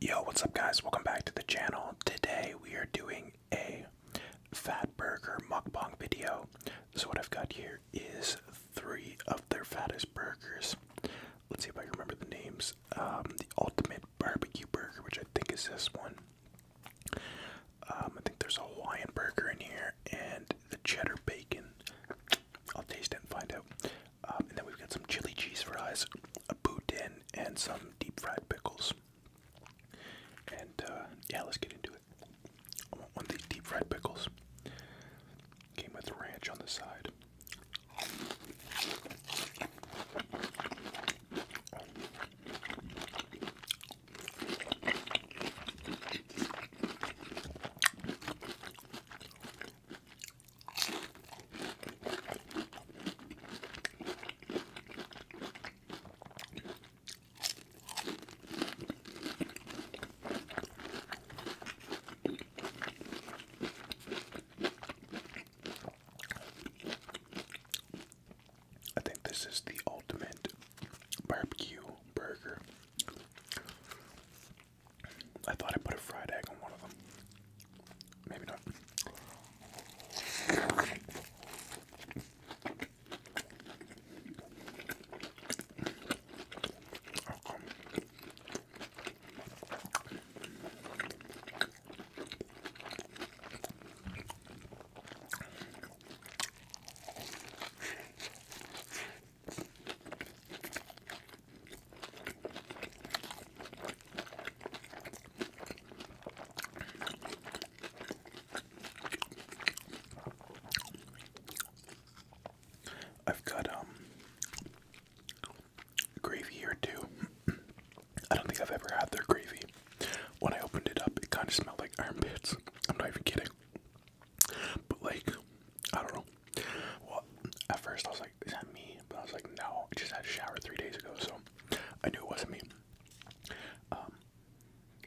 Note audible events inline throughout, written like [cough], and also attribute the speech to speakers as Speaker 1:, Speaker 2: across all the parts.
Speaker 1: Yo, what's up guys? Welcome back to the channel. Today we are doing a fat burger mukbang video. So what I've got here is three of their fattest burgers. Let's see if I can remember the names. Um, the ultimate barbecue burger, which I think is this one. Um, I think there's a Hawaiian burger in here and the cheddar bacon. I'll taste it and find out. Um, and then we've got some chili cheese fries, a boudin, and some deep fried pickles. And uh, yeah, let's get into it. I want one of these deep fried pickles. Came with ranch on the side. I think this is the ultimate barbecue burger. I thought I put a fried egg on one of them. Maybe not. I've got um gravy here too. [clears throat] I don't think I've ever had their gravy. When I opened it up, it kind of smelled like armpits. I'm not even kidding. But like, I don't know. Well, at first I was like, is that me? But I was like, no, I just had a shower three days ago, so I knew it wasn't me. Um,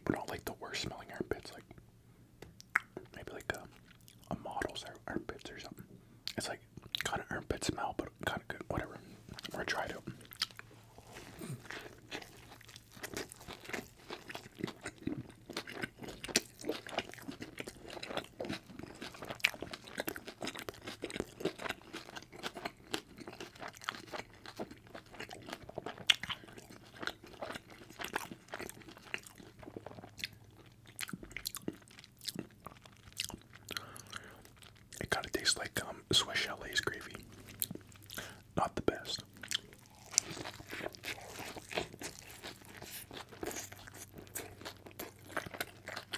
Speaker 1: but not like the worst smelling armpits, like maybe like a, a model's armpits or something. It's like kind of armpit smell, but kind of good, whatever. Or try to. It kind of tastes like um, Swiss Chalet's gravy. Not the best.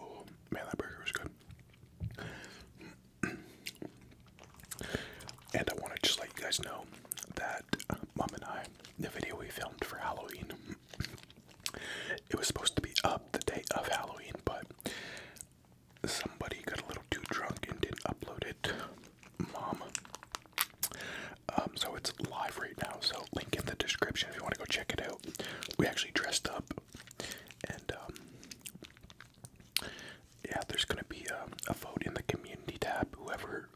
Speaker 1: Oh man, that burger was good and I want to just let you guys know that Mom and I, the video we filmed for Halloween, it was supposed to be up the day of Halloween, but somebody got a little too drunk and didn't upload it. Mom. Um, so it's live right now, so link in the description if you want to go check it out. We actually dressed up and um, yeah, there's gonna be um, a, vote in the community tab. Whoever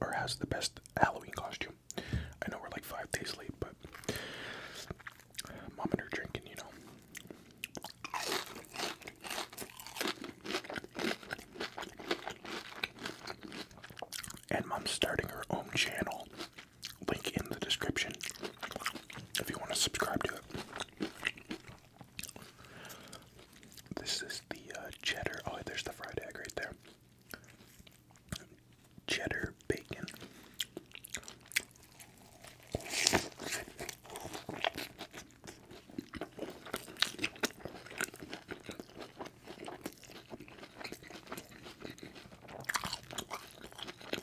Speaker 1: or has the best Halloween costume. I know we're like five days late, but mom and her drinking, you know. And mom's starting her own channel. Link in the description if you want to subscribe to it. This is the uh, cheddar. Oh, there's the fried egg right there. Cheddar bacon.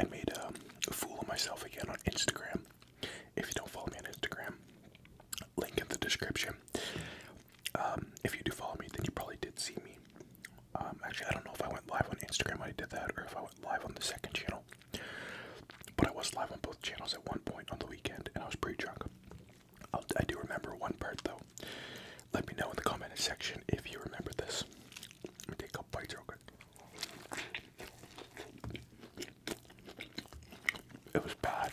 Speaker 1: I made a fool of myself again on Instagram. If you don't follow me on Instagram, link in the description. Um, if you do follow me, then you probably did see me. Um, actually, I don't know if I went live on Instagram when I did that, or if I went live on the second channel. But I was live on both channels at one point on the weekend, and I was pretty drunk. i do remember one part though. Let me know in the comment section if you remember this. Let me take a couple real quick. It was bad.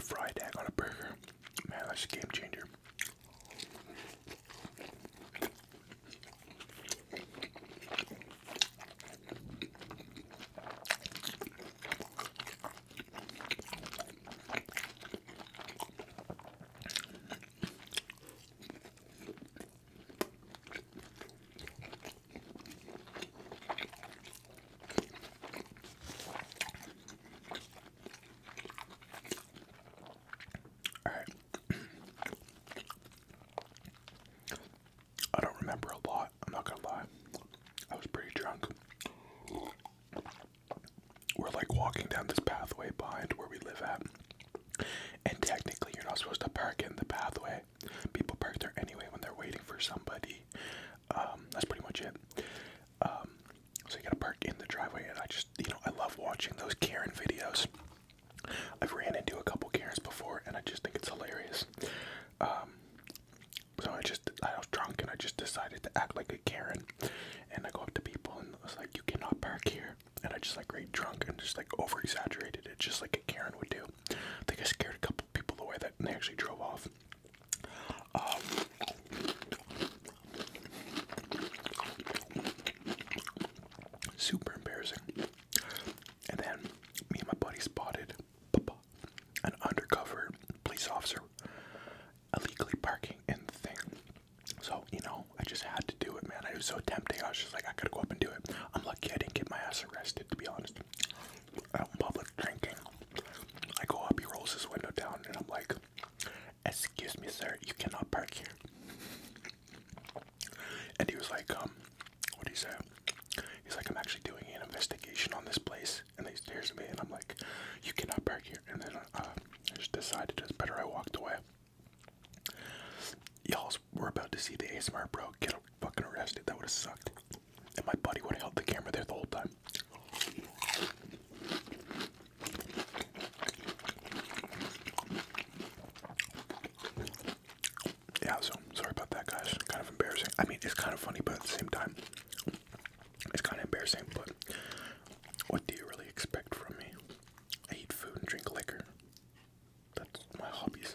Speaker 1: fried egg on a burger. Man, that's a game changer. [clears throat] I don't remember a lot. I'm not gonna lie. I was pretty drunk. We're like walking down this pathway behind where we live at. And technically, you're not supposed to park in the pathway. People park there anyway when they're waiting for somebody. Um, that's pretty much it. Um, so you gotta park in the driveway, and I just, you know, I love watching those Karen videos. I've ran into a couple Karens before, and I just think it's hilarious. Um, so I just, I was drunk, and I just decided to act like a Karen, and I go up to people, and I was like, "You cannot park here," and I just like great drunk and just like over exaggerated it, just like a Karen would do. I think I scared a couple people away that they actually drove off. Um, super embarrassing. And then me and my buddy spotted an undercover police officer illegally parking in the thing. So, you know, I just had to do it, man. I was so tempting. I was just like, I gotta go up and do it. I'm lucky I didn't get my ass arrested, to be honest. I'm public drinking. I go up, he rolls his window down, and I'm like, Excuse me, sir, you cannot park here. And he was like, um, what do you say? He's like, I'm actually doing an investigation on this place. And he stares at me, and I'm like, you cannot park here. And then uh, I just decided it's better I walked away. Y'all were about to see the ASMR bro get fucking arrested. That would have sucked. And my buddy would have held the camera there the whole time. Yeah, so sorry about that, guys. Kind of embarrassing. I mean, it's kind of funny, but at the same time, it's kind of embarrassing. But what do you really expect from me? I eat food and drink liquor. That's my hobbies.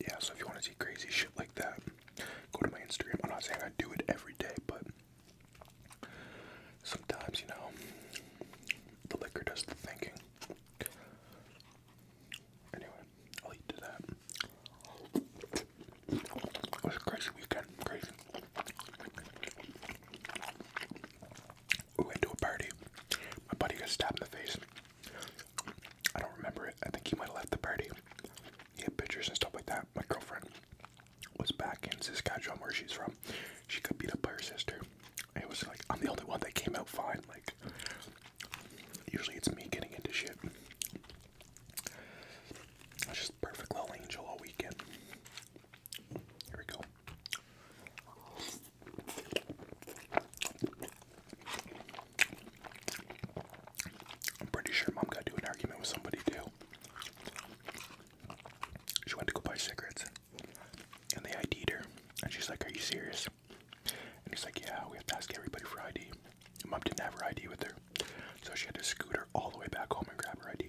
Speaker 1: yeah, so if you want to see crazy shit like that, go to my Instagram. I'm not saying I do it every day, but sometimes, you know, the liquor does the thinking. Anyway, I'll eat to that. It was a crazy weekend, crazy. We went to a party. My buddy got stabbed in the face. I don't remember it. I think he might have left the party. He had pictures and stuff like that. My girlfriend was back in Saskatchewan where she's from. She got beat up by her sister. It was like I'm the only one that came out fine. Like usually it's me getting into shit. just perfect little angel all weekend. Here we go. I'm pretty sure mom got into an argument with somebody too. She went to go buy cigarettes and they ID'd her. And she's like, Are you serious? And he's like, Yeah, we have to ask everybody for ID. mom didn't have her ID with her. So she had to scoot her all the way back home and grab her ID.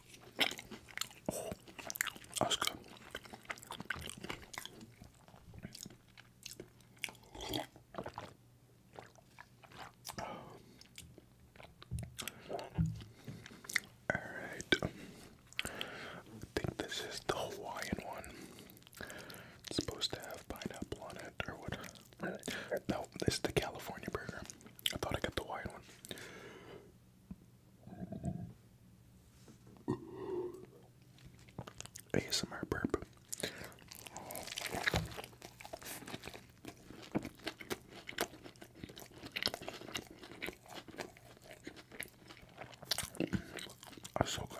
Speaker 1: Oh, that's good. All right, I think this is the Hawaiian one. supposed to have pineapple on it, or what? No, this is the California burger. I thought I got the Hawaiian one. Uh, ASMR burp. Ahsoka.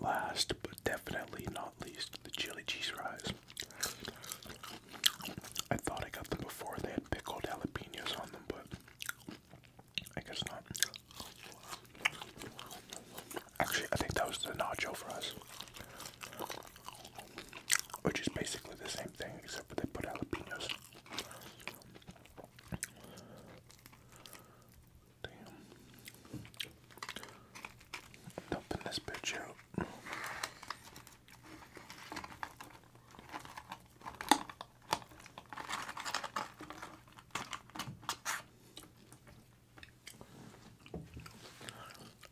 Speaker 1: Last but definitely not least, the chili cheese fries. I thought I got them before they had pickled jalapenos on them, but I guess not. Actually, I think that was the nacho fries, which is basically the same thing except for they put jalapenos. Damn. Dumping this bitch out.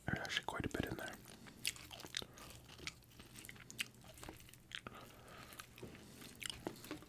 Speaker 1: There's actually quite a bit in there.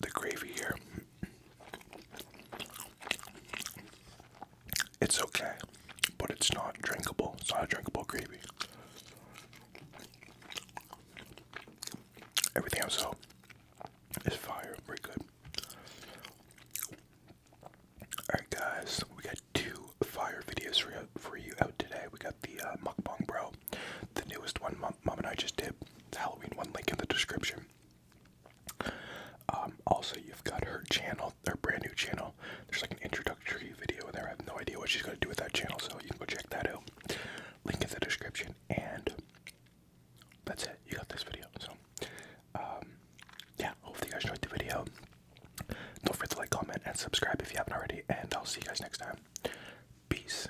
Speaker 1: the gravy here. It's okay, but it's not drinkable. It's not a drinkable gravy. Everything else though is fire, pretty good. Alright guys, we got two fire videos for you, for you out today. We got the uh, mukbang bro, the newest one mom, mom and I just did. The Halloween one link in the description. Um, also, you've got her channel, her brand new channel. There's like an introductory video in there. I have no idea what she's going to do with that channel, so you can go check that out. Link in the description. And that's it. You got this video. So, um, yeah, hopefully you guys enjoyed the video. Don't forget to like, comment, and subscribe if you haven't already. And I'll see you guys next time. Peace.